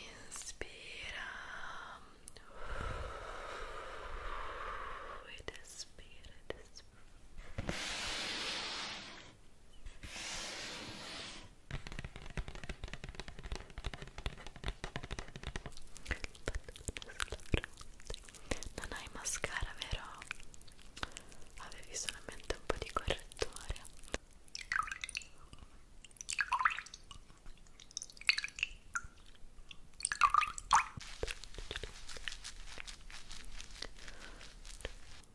Inspira ed espira, ed espira. Non hai mascara, vero? Avevi solamente un po' di correttore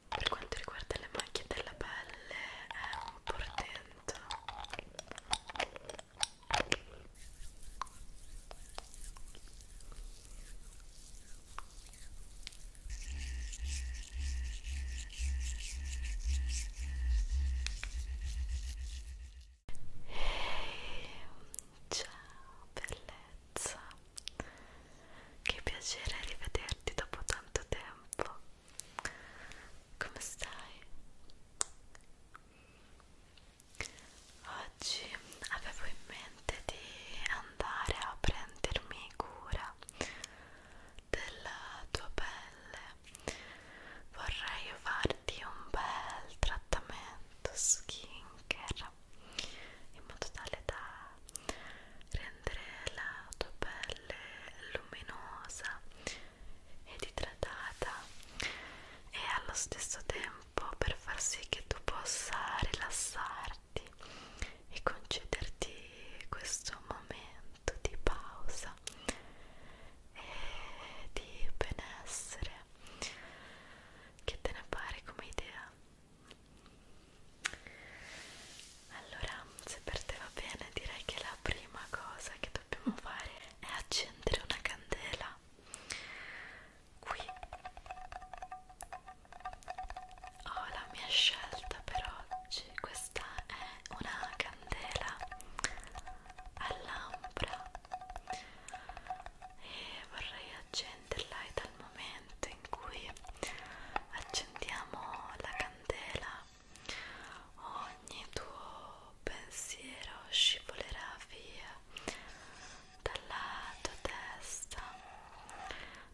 per quanto riguarda le macchie della pelle è un portento Hey, ciao bellezza, che piacere rivederti dopo tanto tempo. Come stai? Oggi avevo in mente di andare a prendermi cura della tua pelle vorrei farti un bel trattamento skincare in modo tale da rendere la tua pelle luminosa ed idratata e allo stesso tempo per far sì che tu possa rilassarti e concederti questo momento di pausa e di benessere che te ne pare come idea allora se per te va bene direi che la prima cosa che dobbiamo fare è accendere una candela qui Oh, la mia scelta per oggi, questa è una candela a lampra e vorrei accenderla e dal momento in cui accendiamo la candela ogni tuo pensiero scivolerà via dalla tua testa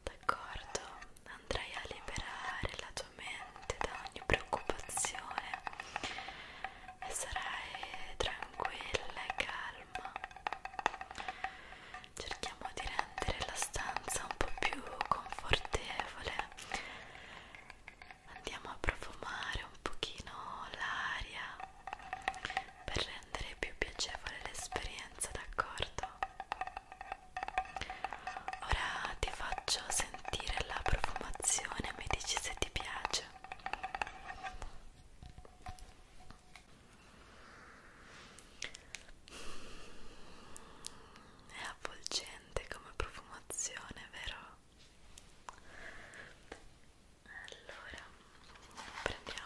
d'accordo? Andrai a liberare la tua mente da ogni preoccupazione e sarai tranquilla e calma. Cerchiamo di rendere la stanza un po' più confortevole. Andiamo a profumare un pochino l'aria per rendere più piacevole l'esperienza, d'accordo? Ora ti faccio sentire la profumazione e mi dici se ti piace. È avvolgente come profumazione, vero? Allora, prendiamo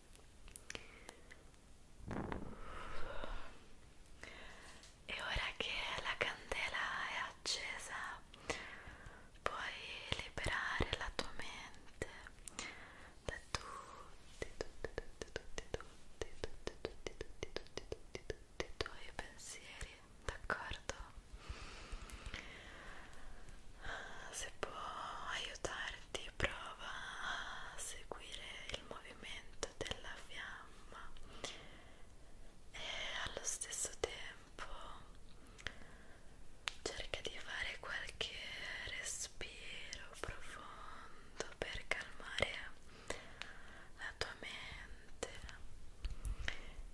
e ora che la candela è accesa puoi liberare la tua mente da tutti tutti tutti tutti tutti tutti tutti tutti tutti tutti tutti i tuoi pensieri d'accordo se può aiutarti prova a seguire il movimento della fiamma e allo stesso tempo cerca di fare qualche respiro profondo per calmare la tua mente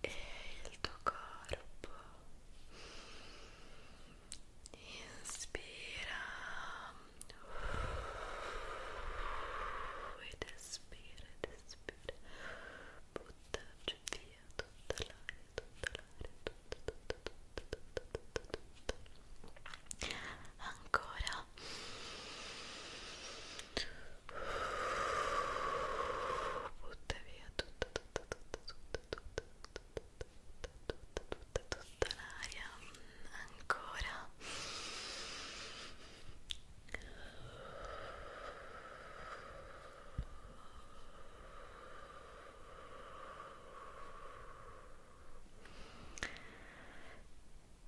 e il tuo corpo Inspira e respira, respira. Butta via tutta l'aria, tutta l'aria, Ancora. Butta via tutta, tutta, tutta, tutta, tutta, tutta, tutta, tutta, tutta l'aria ancora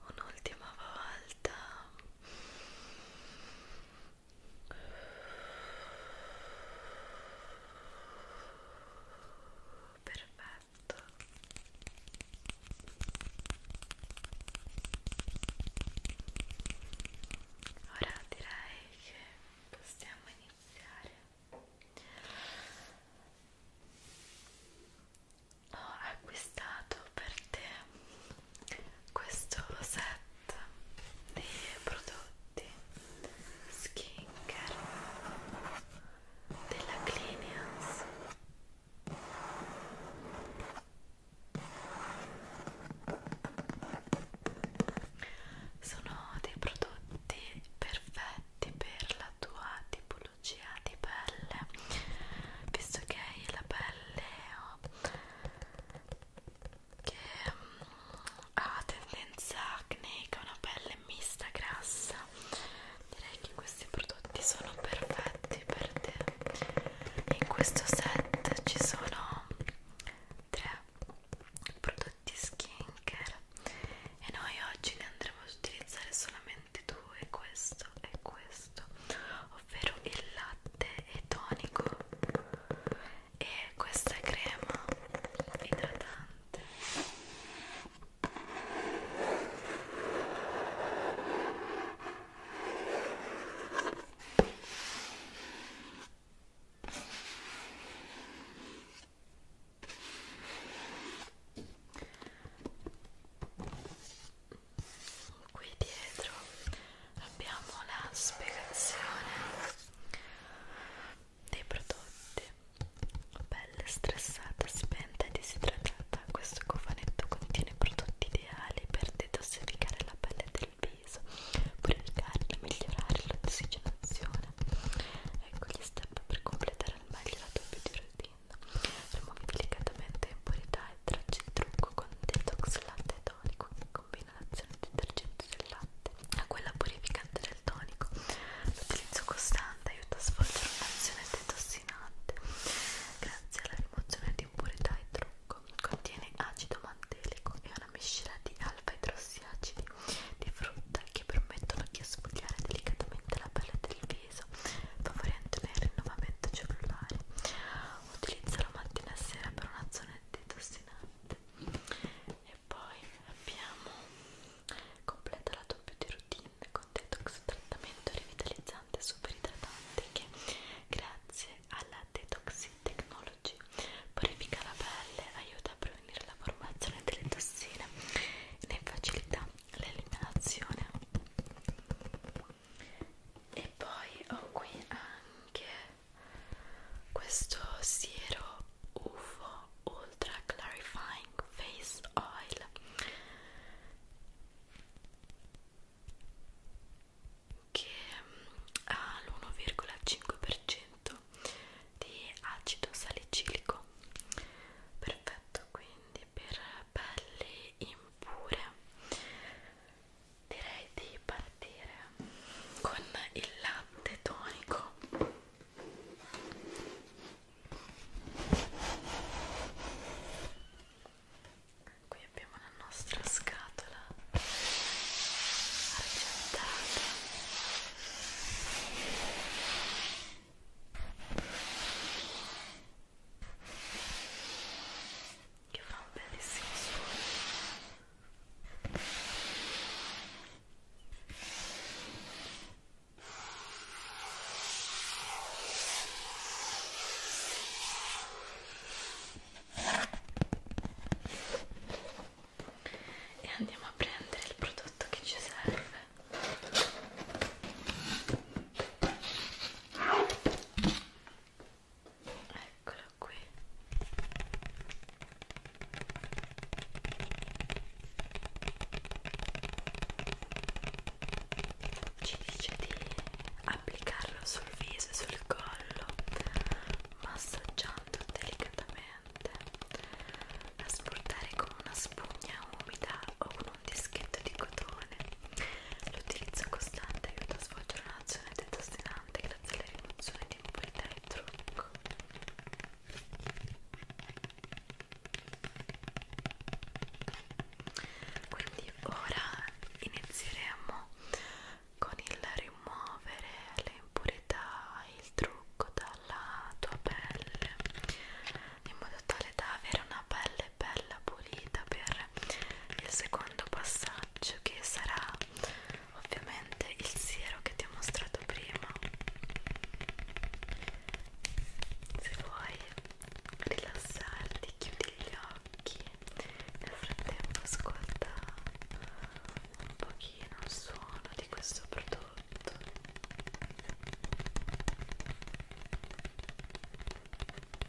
Un'ultima volta perfetto ora direi che possiamo iniziare ho acquistato per te questo set mat esatto. dei prodotti skincare della Clinians sono dei prodotti perfetti per la tua tipologia di pelle visto che hai la pelle che um, ha tendenza acneica, una pelle mista, grassa direi che questi prodotti sono perfetti per te in questo set ci sono tre prodotti skincare e noi oggi ne andremo ad utilizzare solamente due questo e questo ovvero il latte e tonico e questa crema idratante qui dietro abbiamo la spiegazione dei prodotti pelle stressata, spenta e disidratata questo cofanetto contiene prodotti ideali per detossificare la pelle del viso purificarla, migliorare l'ossigenazione ecco gli step per completare al meglio la tua beauty routine rimuovi delicatamente impurità e tracci il trucco con detox latte tonico che combina l'inalazione detergente del latte a quella purificante del tonico. L'utilizzo costante aiuta a svolgere un'azione detossinante grazie alla rimozione di impurità e trucco. Contiene acido mantelico e una miscela di alfa idrossiacidi di frutta che permettono di sfogliare delicatamente la pelle del viso, favorendone il rinnovamento cellulare. Utilizzalo mattina e sera per una zona detossinante e poi abbiamo completa la doppia di routine con detox trattamento revitalizzante super idratante che grazie alla detox technology purifica la pelle aiuta a prevenire la formazione delle tossine e ne facilita l'eliminazione e poi ho qui anche questo siero UFO Ultra Clarifying Face Oil che mm, ha l'1,5% di acido salicilico perfetto quindi per pelli impure direi di partire con il latte tonico qui abbiamo la nostra scatola argentata che fa un bellissimo suono e andiamo a prendere il prodotto che ci serve eccola qui ci dice di applicarlo sul viso e sul collo massaggiando delicatamente da sportare con una spugna umida o con un dischetto di cotone l'utilizzo costante aiuta a svolgere un'azione detostinante pesante grazie alla rimozione di un po' il dentro ecco. quindi ora inizieremo con il rimuovere le impurità e il trucco dalla tua pelle in modo tale da avere una pelle bella pulita per il secondo passaggio che sarà ovviamente il siero che ti ho mostrato prima se vuoi rilassarti chiudi gli occhi nel frattempo ascolta un pochino il suono di questo prodotto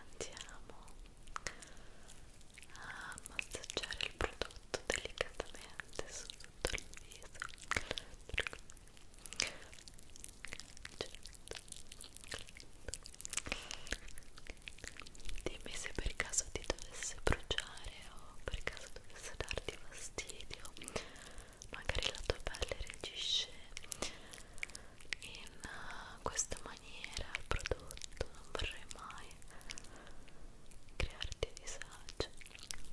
Andiamo a massaggiare il prodotto delicatamente su tutto il viso. Dimmi se per caso ti dovesse bruciare o per caso dovesse darti fastidio, magari la tua pelle reagisce in eh, questa maniera al prodotto, non vorrei mai crearti disagio.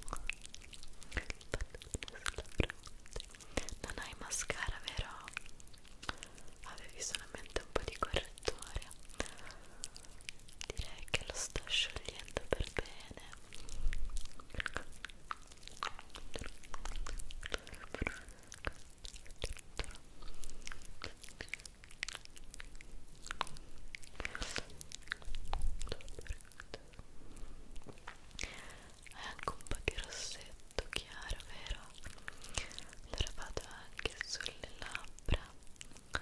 Pallone sulla fronte non hai mascara, vero? Avevi solamente un po' di correttore. Direi che lo sto sciogliendo per bene. Hai anche un po' di rossetto chiaro, vero? Allora vado anche sulle labbra. Ecco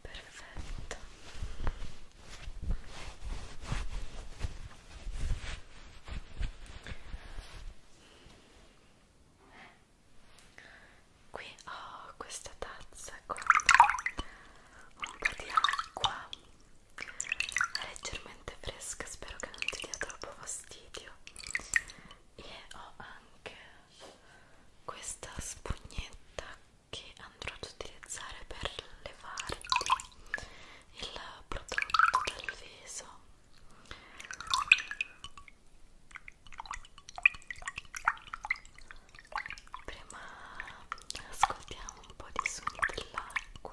perfetto qui ho questa tazza con un po' di acqua è leggermente fresca spero che non ti dia troppo fastidio e ho anche questa spugnetta che andrò ad utilizzare per levarti il prodotto dal viso prima ascoltiamo un po' di suoni dell'acqua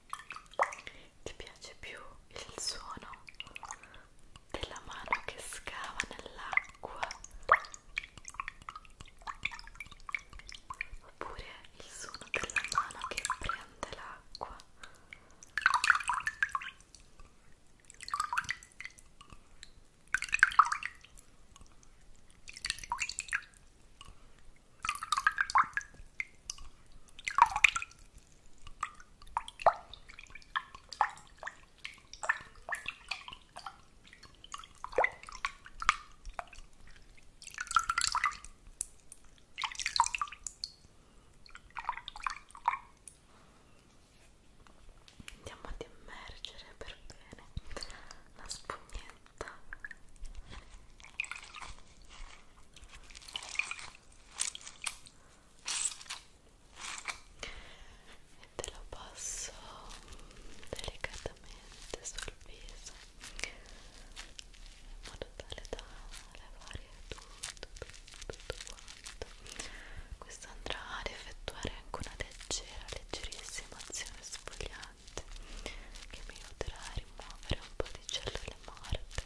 Ti piace più il suono della mano che scava nell'acqua oppure il suono della mano che prende l'acqua? Andiamo ad immergere per bene la spugnetta e te lo passo delicatamente sul viso in modo tale da levare tutto, tutto, tutto quanto questo andrà ad effettuare anche una leggera, leggerissima azione sfogliante che mi aiuterà a rimuovere un po' di cellule morte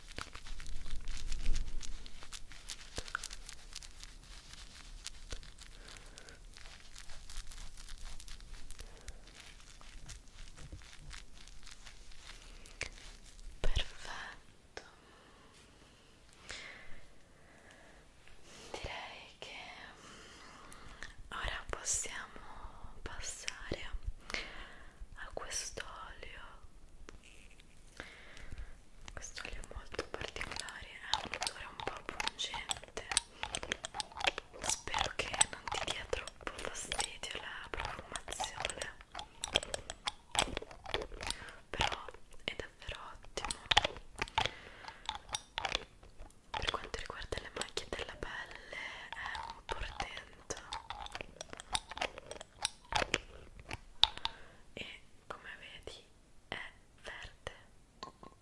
Perfetto. Direi che ora possiamo passare a quest'olio questo olio è molto particolare è un odore un po' pungente spero che non ti dia troppo fastidio la profumazione però è davvero ottimo per quanto riguarda le macchie della pelle è un portento e come vedi è verde molto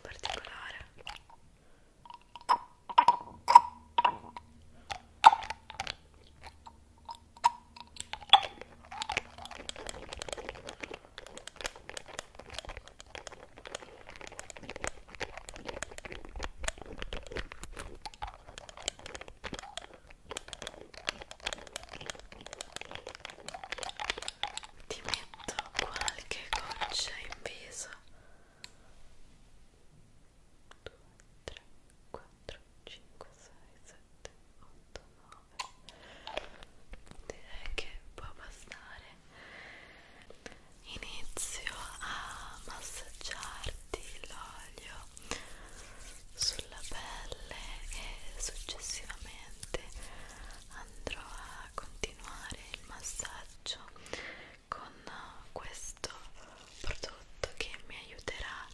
particolare ti metto qualche goccia in viso. 2, 3, 4, 5, 6, 7, 8, 9, direi che può bastare inizio a massaggiarti l'olio sulla pelle e successivamente andrò a continuare il massaggio con questo prodotto che mi aiuterà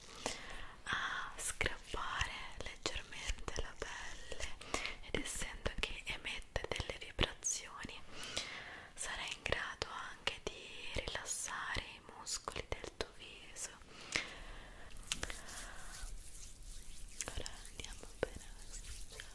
a scrappare leggermente la pelle ed essendo che emette delle vibrazioni sarà in grado anche di rilassare i muscoli del tuo viso ora andiamo bene a massaggiare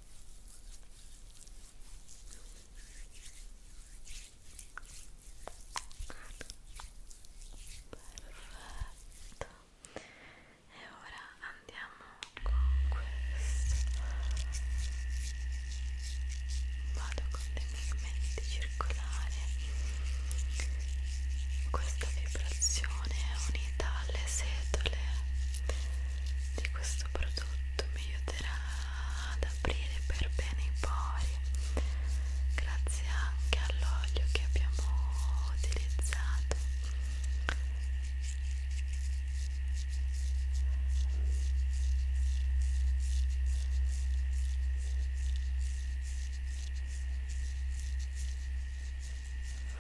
perfetto e ora andiamo con questo vado con dei movimenti circolari questa vibrazione è unita alle setole di questo questo prodotto mi aiuterà ad aprire per bene i pori grazie anche all'olio che abbiamo utilizzato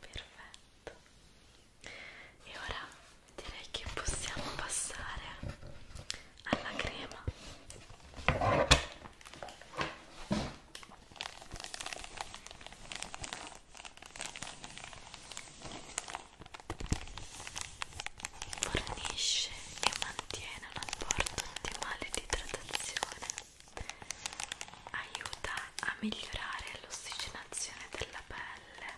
Perfetto. E ora direi che possiamo passare alla crema. Fornisce e mantiene un apporto ottimale di idratazione, aiuta a migliorare l'ossigenazione della pelle,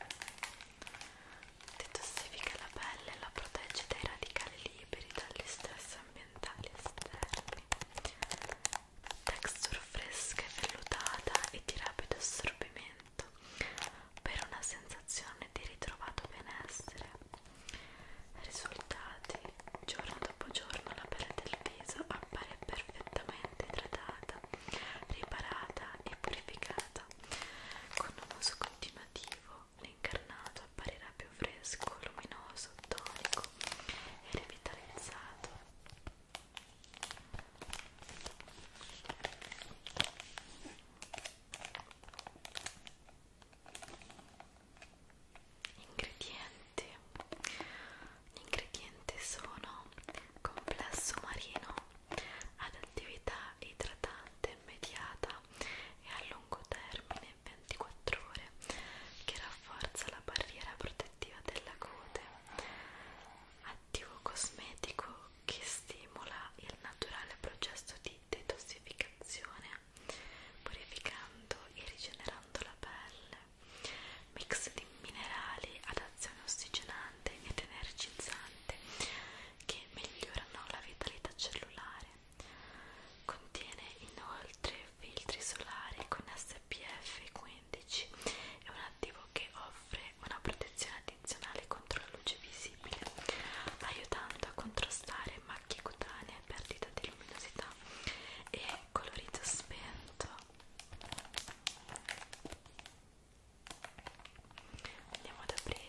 detossifica la pelle e la protegge dai radicali liberi dagli stress ambientali ambientali esterni texture fresca e vellutata e di rapido assorbimento per una sensazione di ritrovato benessere risultati giorno dopo giorno la pelle del viso appare perfettamente idratata riparata e purificata con un uso continuativo l'incarnato apparirà più fresco, luminoso, tonico e revitalizzato. Ingredienti. Gli ingredienti sono complesso marino ad attività idratante immediata e a lungo termine 24 ore che rafforza la barriera protettiva della cute attivo cosmetico che stimola il naturale processo di detossificazione purificando e rigenerando la pelle mix di minerali ad azione ossigenante ed energizzante che migliorano la vitalità cellulare Contiene inoltre filtri solari con SPF 15 e un attivo che offre una protezione addizionale contro la luce visibile, aiutando a contrastare macchie cutanee, perdita di luminosità e colorito spento. Andiamo ad aprire.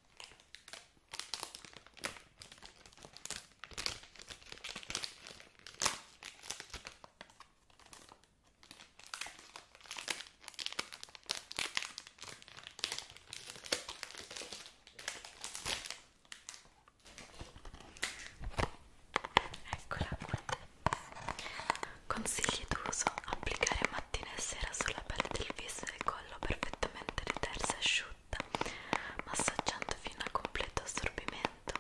Eccola qua. Consigli d'uso: applicare mattina e sera sulla pelle del viso e del collo collo perfettamente ritersa e asciutta, massaggiando fino al completo assorbimento.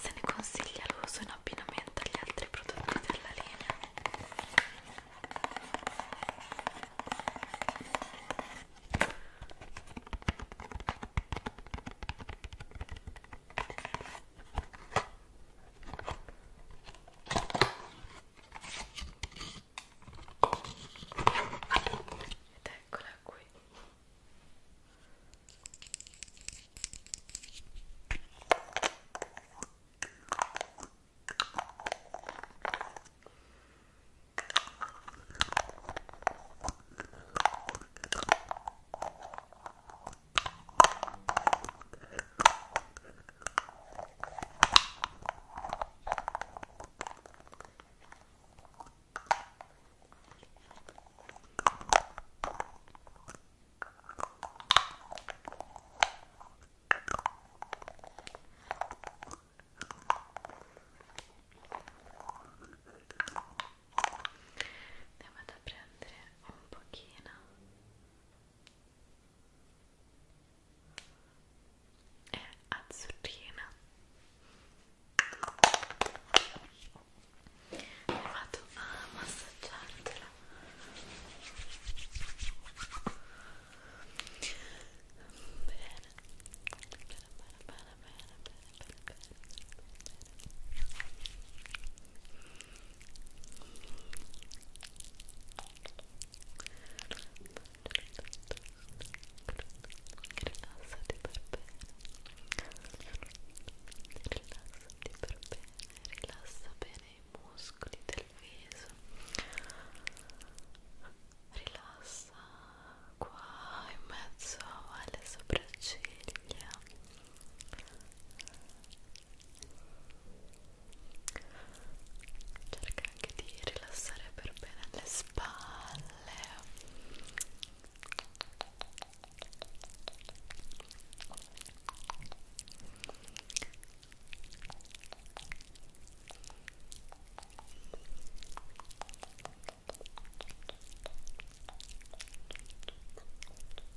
Se ne consiglia l'uso in abbinamento agli altri prodotti della linea ed eccola qui ne vado a prendere un pochino è azzurrina vado a massaggiartela bene bene bene bene bene bene bene bene bene bene rilassati per bene rilassati per bene rilassa bene i muscoli del viso rilassa qua in mezzo alle sopracciglia cerca anche di rilassare per bene le spalle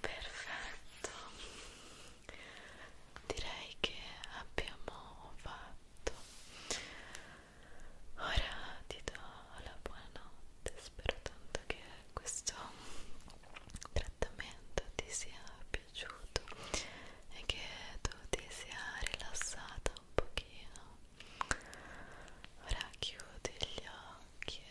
Perfetto, direi che abbiamo fatto. Ora ti do la buonanotte, spero tanto che questo trattamento ti sia piaciuto e che tu ti sia rilassata un pochino. Ora chiudi gli occhi